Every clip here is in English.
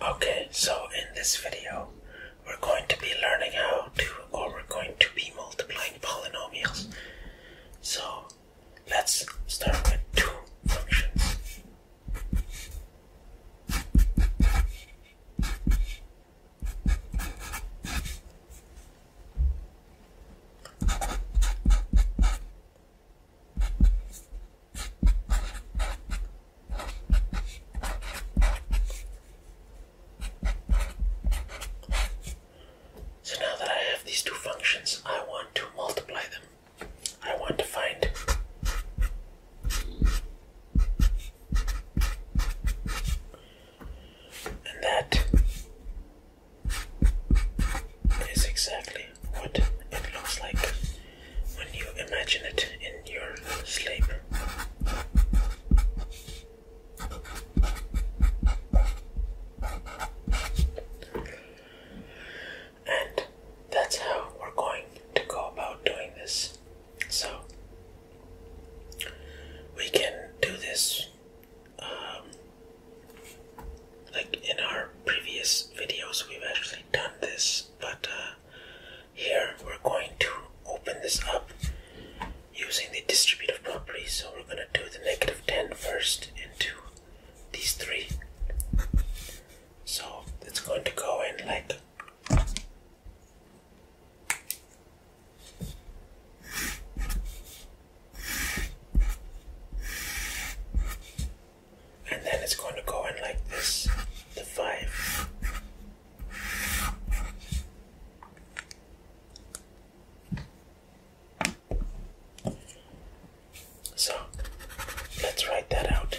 Okay, so in this video, we're going to be learning how to, or we're going to be multiplying polynomials. So let's start with two functions. So now that I have these two functions, I want to multiply them. I want to find and that is exactly what it looks like when you imagine it in your sleep. And that's how we're going to go about doing this. So, we can do this um, like in our previous videos, we've actually done this but uh, here we're going to open this up using the distributive property so we're going to do the negative 10 first into these three so it's going to go in like and then it's going to go in like this the five so let's write that out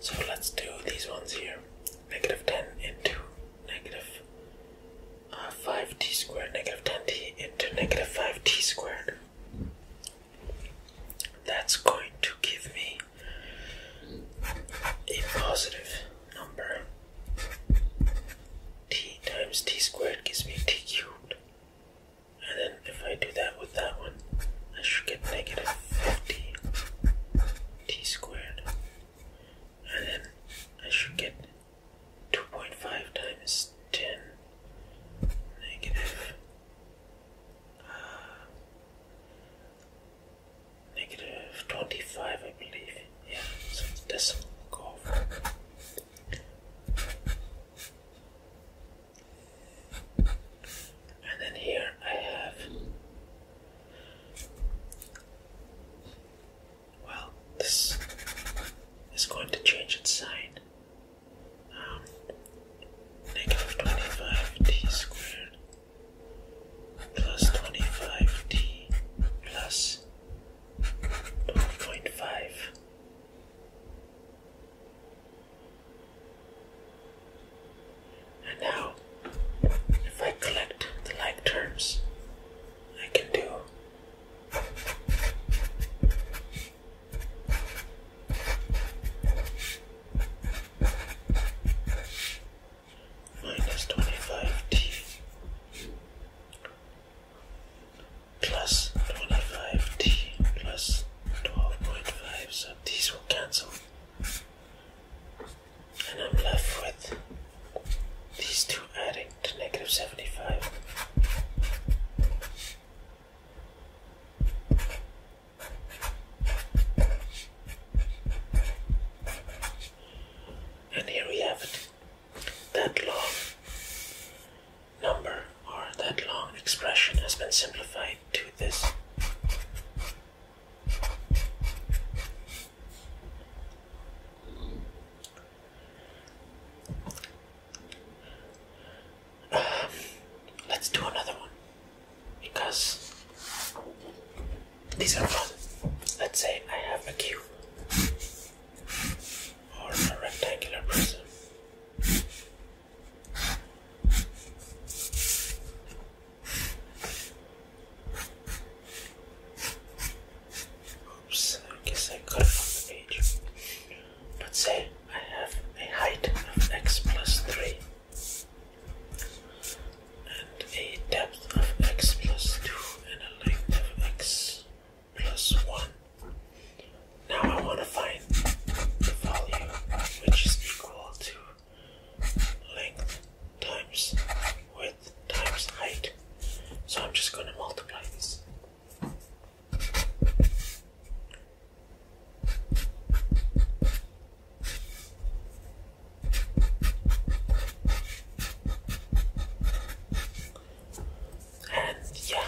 So let's do these ones here. Negative 10 into 5t uh, squared, negative 10t into negative 5t squared. That's going to give me a positive number. t times t squared gives me t cubed. And then if I do that with that one, I should get negative 50 t squared. And then I should get 2.5 times 10 ah. 25, I believe. Yeah, so it's decimal curve. And then here I have well, this is going to change its sign. Um, negative 25t squared plus 25t plus 12.5 and now, if I collect the like terms, I can do minus 25t plus 25t plus 12.5, so these will cancel and I'm left with these two adding to negative 75. And here we have it. That long number or that long expression has been simplified to this let's do another one because these are fun. Let's say I have a cube or a rectangular prism Oops, I guess I got it off the page. Let's say I have a height of x plus 3 and a depth of x plus 2 and a length of x plus 1. Now I want to find the value which is equal to length times width times height. So I'm just going to multiply this. And yeah,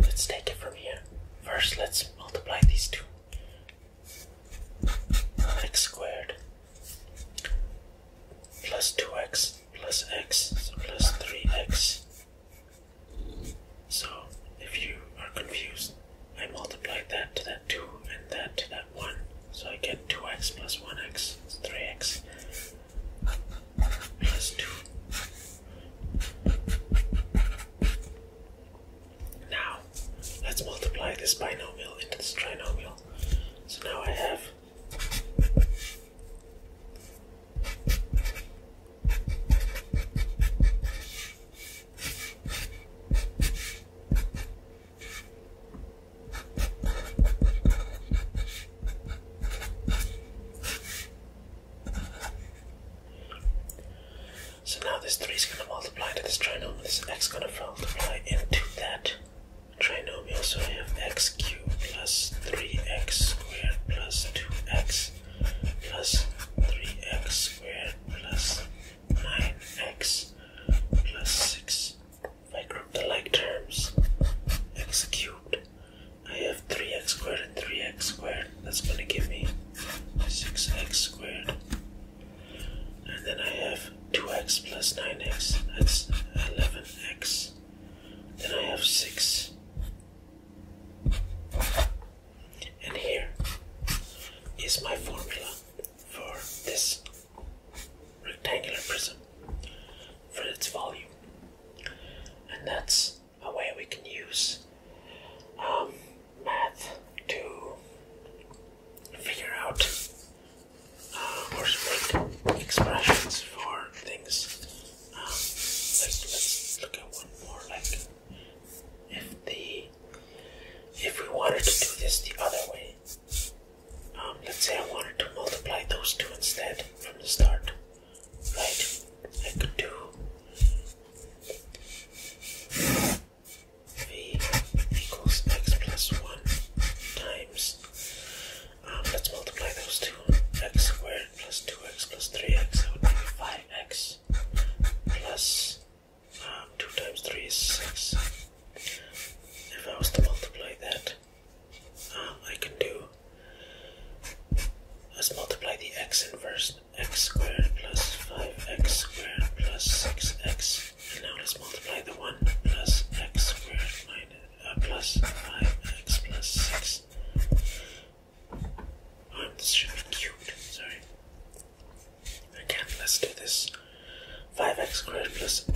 let's take it from here. First, let's multiply these two x squared plus 2x plus x plus 3x so if you are confused I multiplied that to that 2 and that to that 1 so I get 2x plus 1x is 3x plus 2 now, let's multiply this binomial into this trinomial. So now I have so now this 3 is going to multiply to this trinomial, this x is going to multiply into that trinomial. So I have x cubed plus 3x squared plus 2x plus 3x squared plus 9x plus 6. If I group the like terms, x cubed, I have 3x squared and 3x squared that's gonna give me 6x squared. And then I have 2x plus 9x, that's 11x. Then I have 6. And here is my formula for this rectangular prism for its volume. And that's a way we can use um, math to figure out uh, or make expressions for things. Um, let's, let's look at one more. Like if the if we wanted to do this the other way, um, let's say I wanted to multiply those two instead from the start, right? I could do v equals x plus 1 times, um, let's multiply those two, x squared plus 2x plus 3x, that would be 5x um, 2 times 3 is 6. If I was to multiply that, um, I can do, let's multiply the x inverse x squared plus 5x squared plus 6x. And now let's multiply the 1 plus x squared minus, uh, plus 5x plus 6. Um, this should be cute. sorry. Again, let's do this. 5x squared plus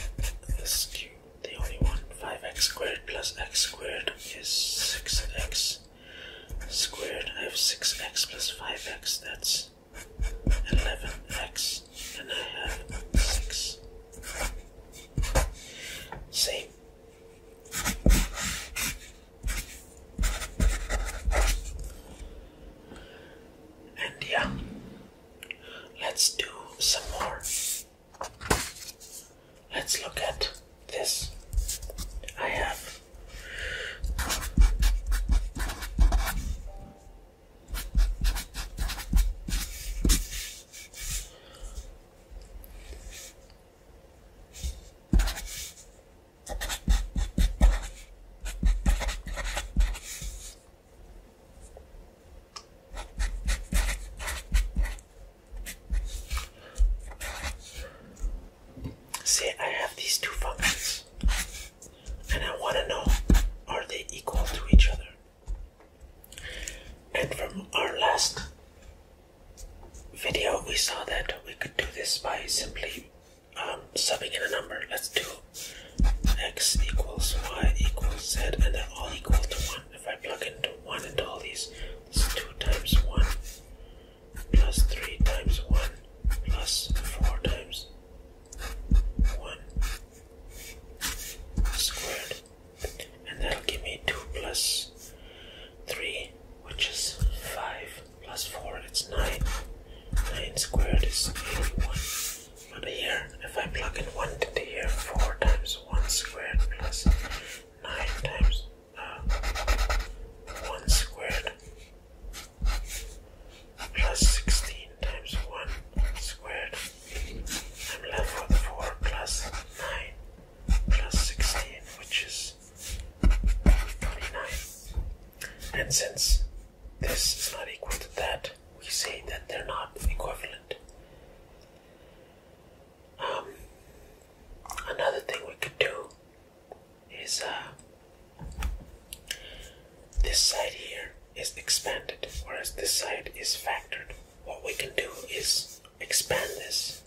this cubed, the only one. 5x squared plus x squared is 6x squared. I have 6x plus 5x, that's 11x, and I have 6. Same. And yeah, let's do some more let's look at this. I have Say I have these two functions, and I want to know are they equal to each other? And from our last video, we saw that we could do this by simply um, subbing in a number. Let's do x equals y equals z, and they're all equal to 1. If I plug into 1 into all these, this is 2 times 1 plus 3 times 1 plus 4 times 1 squared and that'll give me 2 plus 3 which is 5 plus 4 it's 9 9 squared is 81 but here if I plug in 1 into here 4 times 1 squared plus 9 times 1 squared plus 16 times 1 squared. I'm left with 4 plus 9 plus 16, which is 29. And since this is not equal to that, we say that they're not equivalent. Um, another thing we could do is uh, this side here is expanded, whereas this side is factored. What we can do is expand this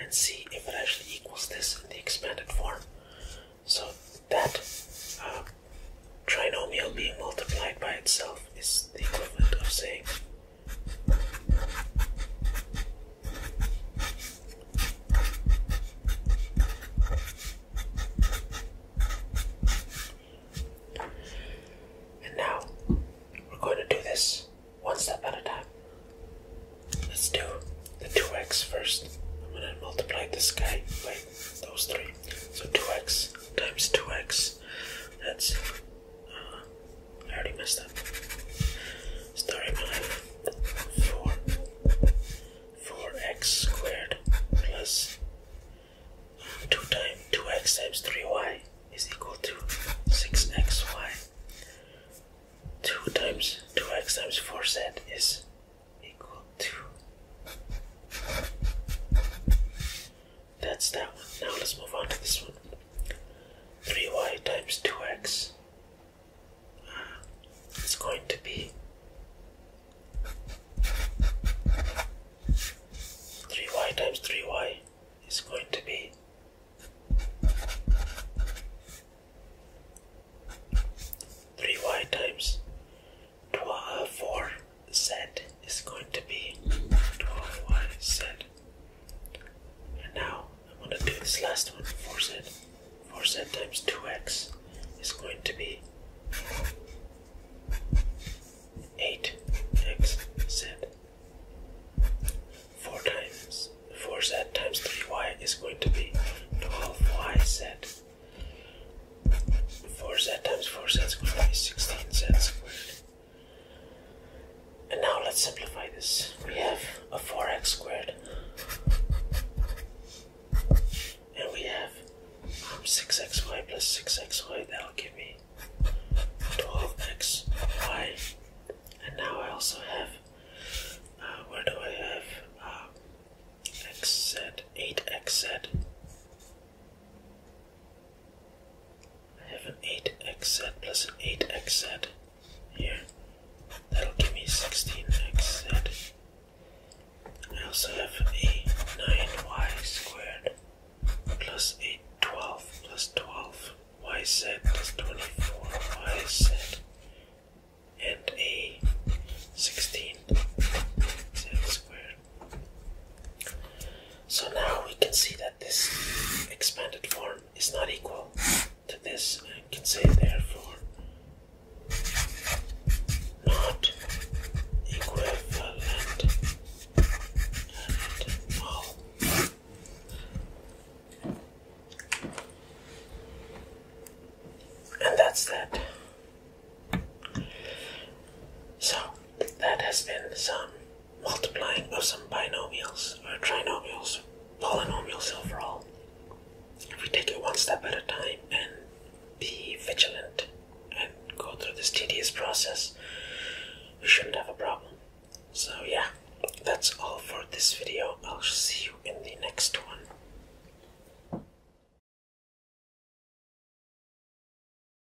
and see if it actually equals this in the expanded form. So that uh, trinomial being multiplied by itself is the equivalent of saying and now we're going to do this one step at a time. Let's do the 2x first. I'm going to multiply this guy by those three. So 2x times 2x, that's I already messed up. Story mine. 4. 4x squared plus 2 times 2x times 3y is equal to 6xy. 2 times 2x times 4z is equal to that's that one. Now let's move on to this one. 3y times 2x uh, is going to be 3y times 3y is going to be 3y times 4z is going to be 12 y z. And now I'm to do this last one, 4z. 4z times 2x is going to be 8xz. 4 times 4z times 3y is going to be 12yz. 4z times 4z is going to be 16z squared. And now let's simplify this. We have a 4x squared. And we have 6xy um, plus 6xy. That'll give me 12xy. And now I also have, uh, where do I have? Uh, xz, 8xz. I have an 8xz plus an 8xz here. That'll give me 16xz. I also have a 9y squared plus a 12 plus 12yz plus 24yz and a 16z squared. So now we can see that this expanded form is not equal to this and can say therefore not equivalent at all. And that's that. So that has been some multiplying of some binomials or trinomials, polynomials overall. If we take it one step at a time and be vigilant and go through this tedious process, we shouldn't have a problem. So yeah, that's all for this video. I'll see you in the next one.